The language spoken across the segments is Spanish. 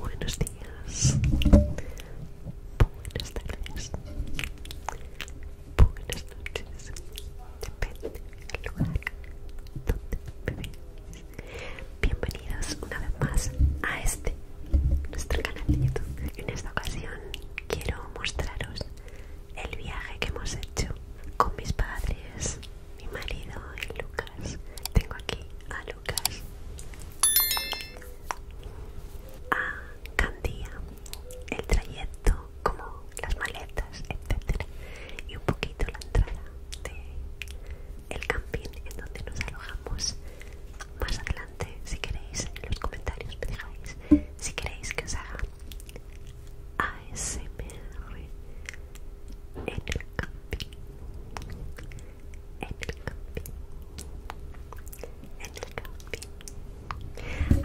Buenos días, buenas tardes, buenas noches, depende del lugar donde me Bienvenidos una vez más a este, nuestro canal de YouTube. En esta ocasión quiero mostraros el viaje que hemos hecho con mis padres, mi marido y Lucas. Tengo aquí a Lucas a Candía el trayecto como las maletas etcétera y un poquito la entrada del el camping en donde nos alojamos más adelante si queréis en los comentarios me dejáis si queréis que os haga ASMR en el camping en el camping en el camping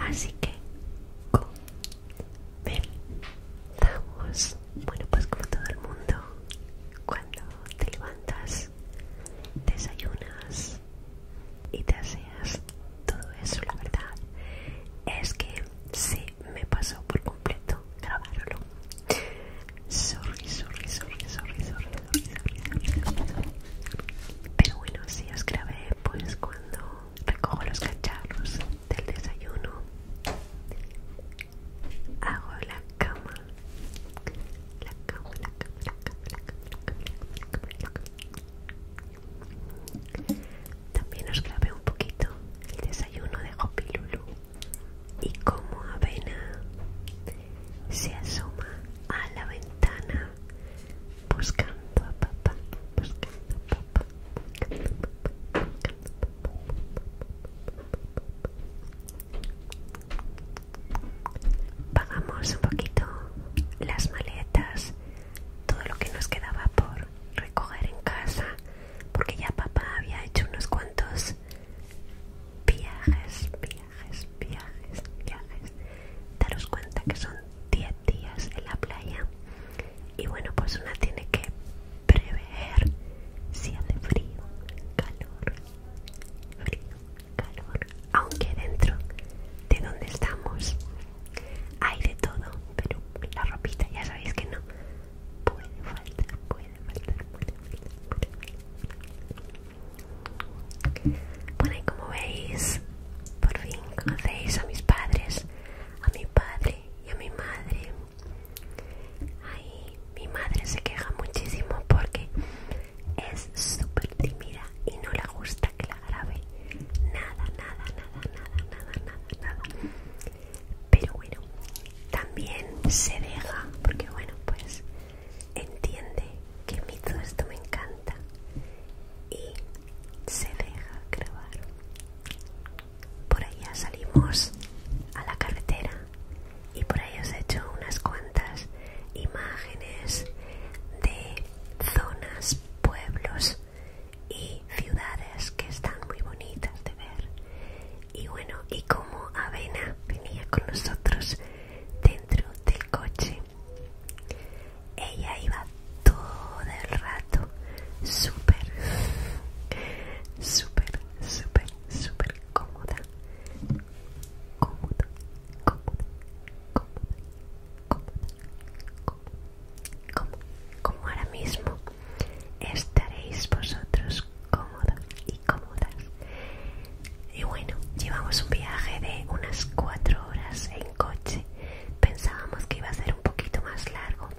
así que comenzamos bueno pues como todo el mundo cuando te levantas desayunas y te aseas todo eso la verdad es que sí me pasó por completo grabarlo. Sorry, sorry, sorry, sorry, sorry, sorry, sorry, Pero bueno, si os grabé pues cuando recojo los cacharros del desayuno, hago la cama. La cama, la cama, la cama, la cama, la cama, cama, la cama. También os grabé un poquito el desayuno de Hopi Lulu y como avena se asoma a la ventana buscando a papá, Pagamos un poquito las maletas, todo lo que nos quedaba por recoger en casa, porque ya papá había hecho unos cuantos viajes, viajes, viajes, viajes. Daros cuenta que son 10 días en la playa y bueno, pues una tiene que prever si hace frío, calor, frío, calor. Aunque dentro de donde estamos hay de todo, pero la ropita ya sabéis que no puede faltar, bueno, y como veis, por fin conocéis a mis padres, a mi padre y a mi madre. Ahí, mi madre se queja muchísimo porque es súper tímida y no le gusta que la grabe. Nada, nada, nada, nada, nada, nada, nada pero bueno también se deja porque bueno pues entiende que a mí todo esto me encanta y se deja grabar por allá salimos a la carretera y por ahí os he hecho unas cuantas imágenes de zonas, pueblos y ciudades que están muy bonitas de ver y bueno y como Avena venía con nosotros dentro del coche ella iba todo el rato súper súper súper súper cómoda cómoda cómoda cómoda cómoda cómoda como, como ahora mismo estaréis vosotros cómodos y cómodas. Y bueno, llevamos un viaje de unas cuatro horas en coche. Pensábamos que iba a ser un poquito más largo,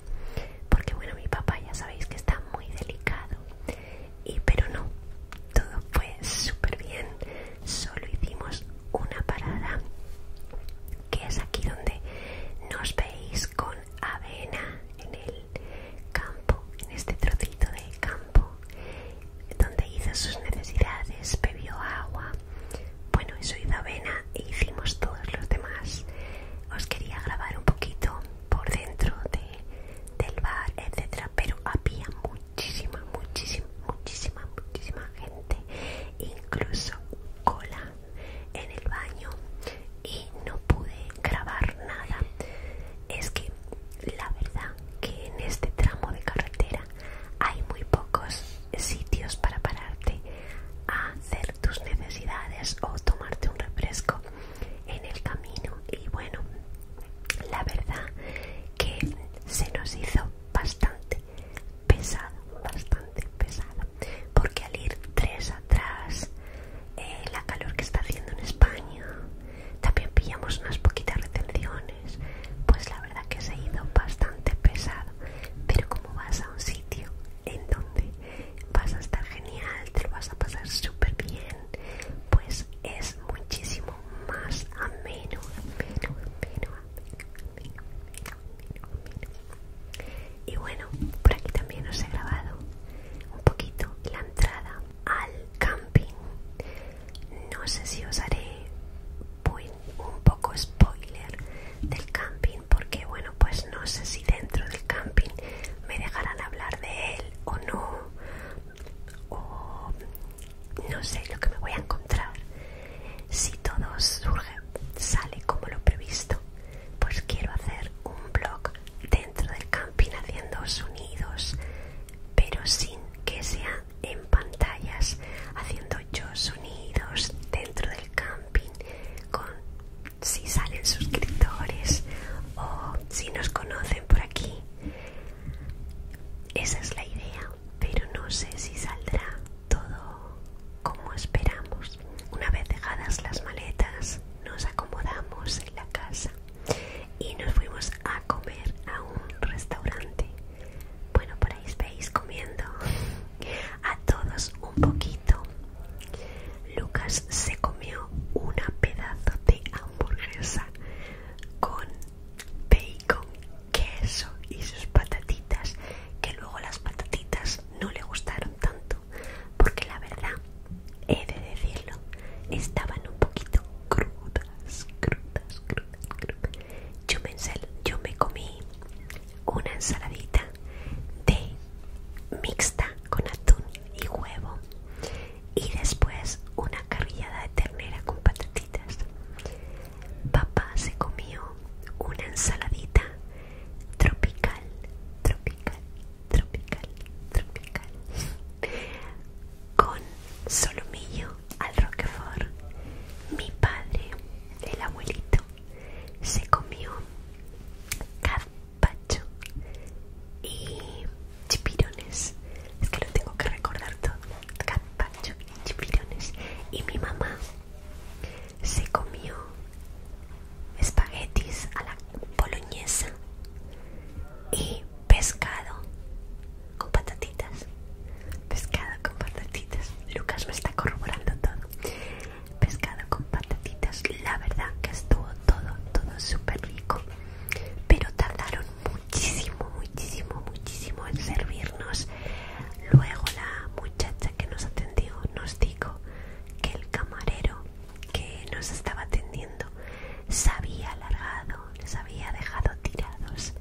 porque bueno, mi papá ya sabéis que está muy delicado. Y pero no, todo fue súper bien. Solo hicimos una parada, que es aquí donde nos veis con avena en el campo, en este trocito de campo, donde hizo sus necesidades, bebió agua. Bueno, eso hizo avena e hicimos todos los demás. Os quería grabar un poquito por dentro de, del bar, etcétera, pero había muchísima, muchísima, muchísima, muchísima gente, incluso cola en el baño y no pude grabar nada. Es que la verdad que en este tramo de carretera hay muy pocos sitios para pararte a hacer tus necesidades o tomarte un refresco en el camino y bueno la verdad que se nos hizo bastante pesado bastante pesado porque al ir tres atrás eh, la calor que está haciendo en España también pillamos unas poquitas retenciones pues la verdad que se ha ido bastante pesado pero como vas a un sitio en donde vas a estar genial te lo vas a pasar súper bien pues es muchísimo más ameno ameno ameno, y bueno, por aquí también os he grabado un poquito la entrada al camping. No sé si os haré un poco spoiler del camping porque bueno, pues no sé si dentro del camping me dejarán hablar de él o no. O no sé lo que me voy a encontrar. Si todo surge, sale como lo previsto, pues quiero hacer un blog dentro del camping haciendo sonidos, pero sin que sea en pantallas, haciendo yo sonidos dentro del camping, con si salen suscriptores o si nos conocen por aquí. Esa es la idea, pero no sé si saldrá todo como esperamos. Una vez dejadas las maletas, nos acomodamos en la casa y nos fuimos a comer a un restaurante. Bueno, por ahí veis comiendo a todos un poquito. Lucas se comió una pedazo de hamburguesa con bacon, queso y sus patatitas que luego las patatitas no le gustaron tanto, porque la verdad, he de decirlo, estaban un poquito crudas, crudas, crudas, Yo me, yo me comí una ensaladita de mixta con atún y huevo y después una carrillada de ternera con patatitas. Papá se comió una ensaladita tropical, tropical, tropical, tropical, con solomillo al roquefort. Mi padre, el abuelito, se comió gazpacho y chipirones. Es que lo tengo que recordar todo. Gazpacho y chipirones. Y mi mamá se comió espaguetis a la boloñesa y pescado con patatitas. Pescado con patatitas. Lucas me está corroborando todo. Pescado con patatitas. La verdad que estuvo todo, todo súper rico. Pero tardaron muchísimo, muchísimo, muchísimo en servirnos Luego la muchacha que nos atendió nos dijo que el camarero que nos estaba atendiendo se había alargado, les había dejado tirados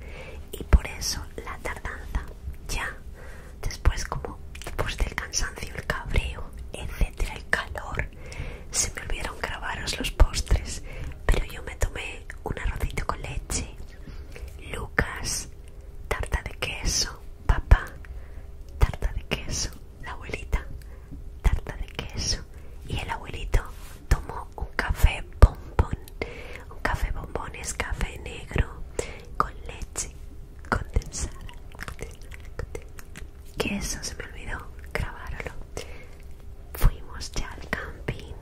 y por eso la tardanza ya después como después del cansancio, el cabreo, etcétera, el calor, se me olvidaron grabaros los postres, pero yo me tomé un arrozito con leche, Lucas, tarta de queso, papá, tarta de queso, la abuelita, tarta de queso y el abuelito tomó un café bombón, un café bombón es café negro con leche condensada, Queso se me olvidó grabarlo. Fuimos ya al camping,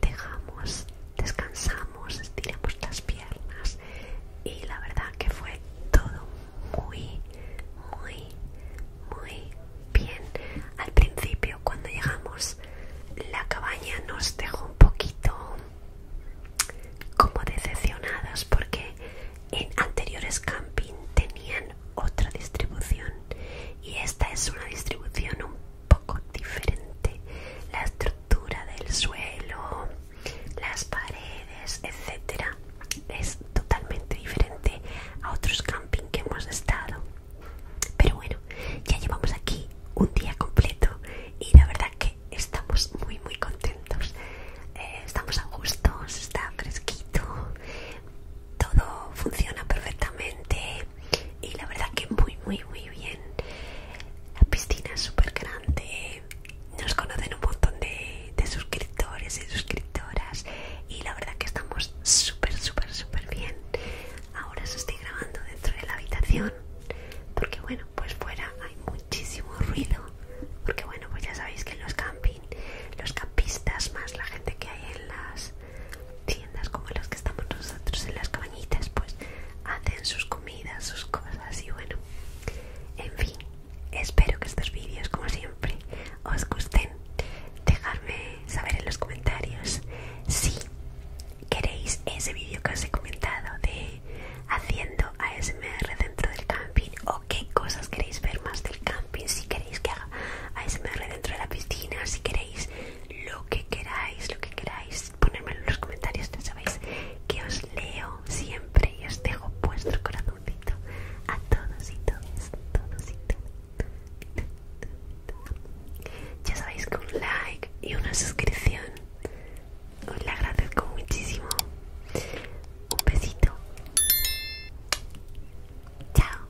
dejamos, descansamos, estiramos las piernas y la verdad que fue todo muy, muy, muy bien. Al principio cuando llegamos la cabaña nos dejó un poquito como decepcionadas porque en anteriores camping tenían otra distribución y esta es una distribución un poco diferente la estructura del suelo, las paredes, etcétera, es totalmente diferente a otros camping que hemos estado. Pero bueno, ya llevamos aquí un día completo y la verdad que estamos muy muy contentos. Eh, estamos a gusto, está fresquito, todo funciona perfectamente y la verdad que muy muy muy bien la piscina es súper grande nos conocen un montón de, de suscriptores y suscriptoras y la verdad que estamos súper súper súper bien ahora se estoy grabando dentro de la habitación porque bueno pues fuera hay muchísimo ruido porque bueno pues ya sabéis que en los camping los campistas más la gente que hay en las tiendas como las que estamos nosotros en las cabañitas pues hacen sus comidas, sus cosas y bueno, en fin, espero que estos vídeos como siempre os gusten, dejadme saber en los comentarios si queréis ese vídeo que os he comentado de haciendo ASMR dentro del camping o qué cosas queréis ver más del camping, si queréis que haga ASMR dentro de la piscina, si queréis lo que queráis, lo que queráis, ponérmelo en los comentarios, ya sabéis que os leo siempre y os dejo vuestro corazoncito a todos y todas, todos y todas. Ya sabéis que un like y una suscripción os la agradezco muchísimo. Un besito. Chao.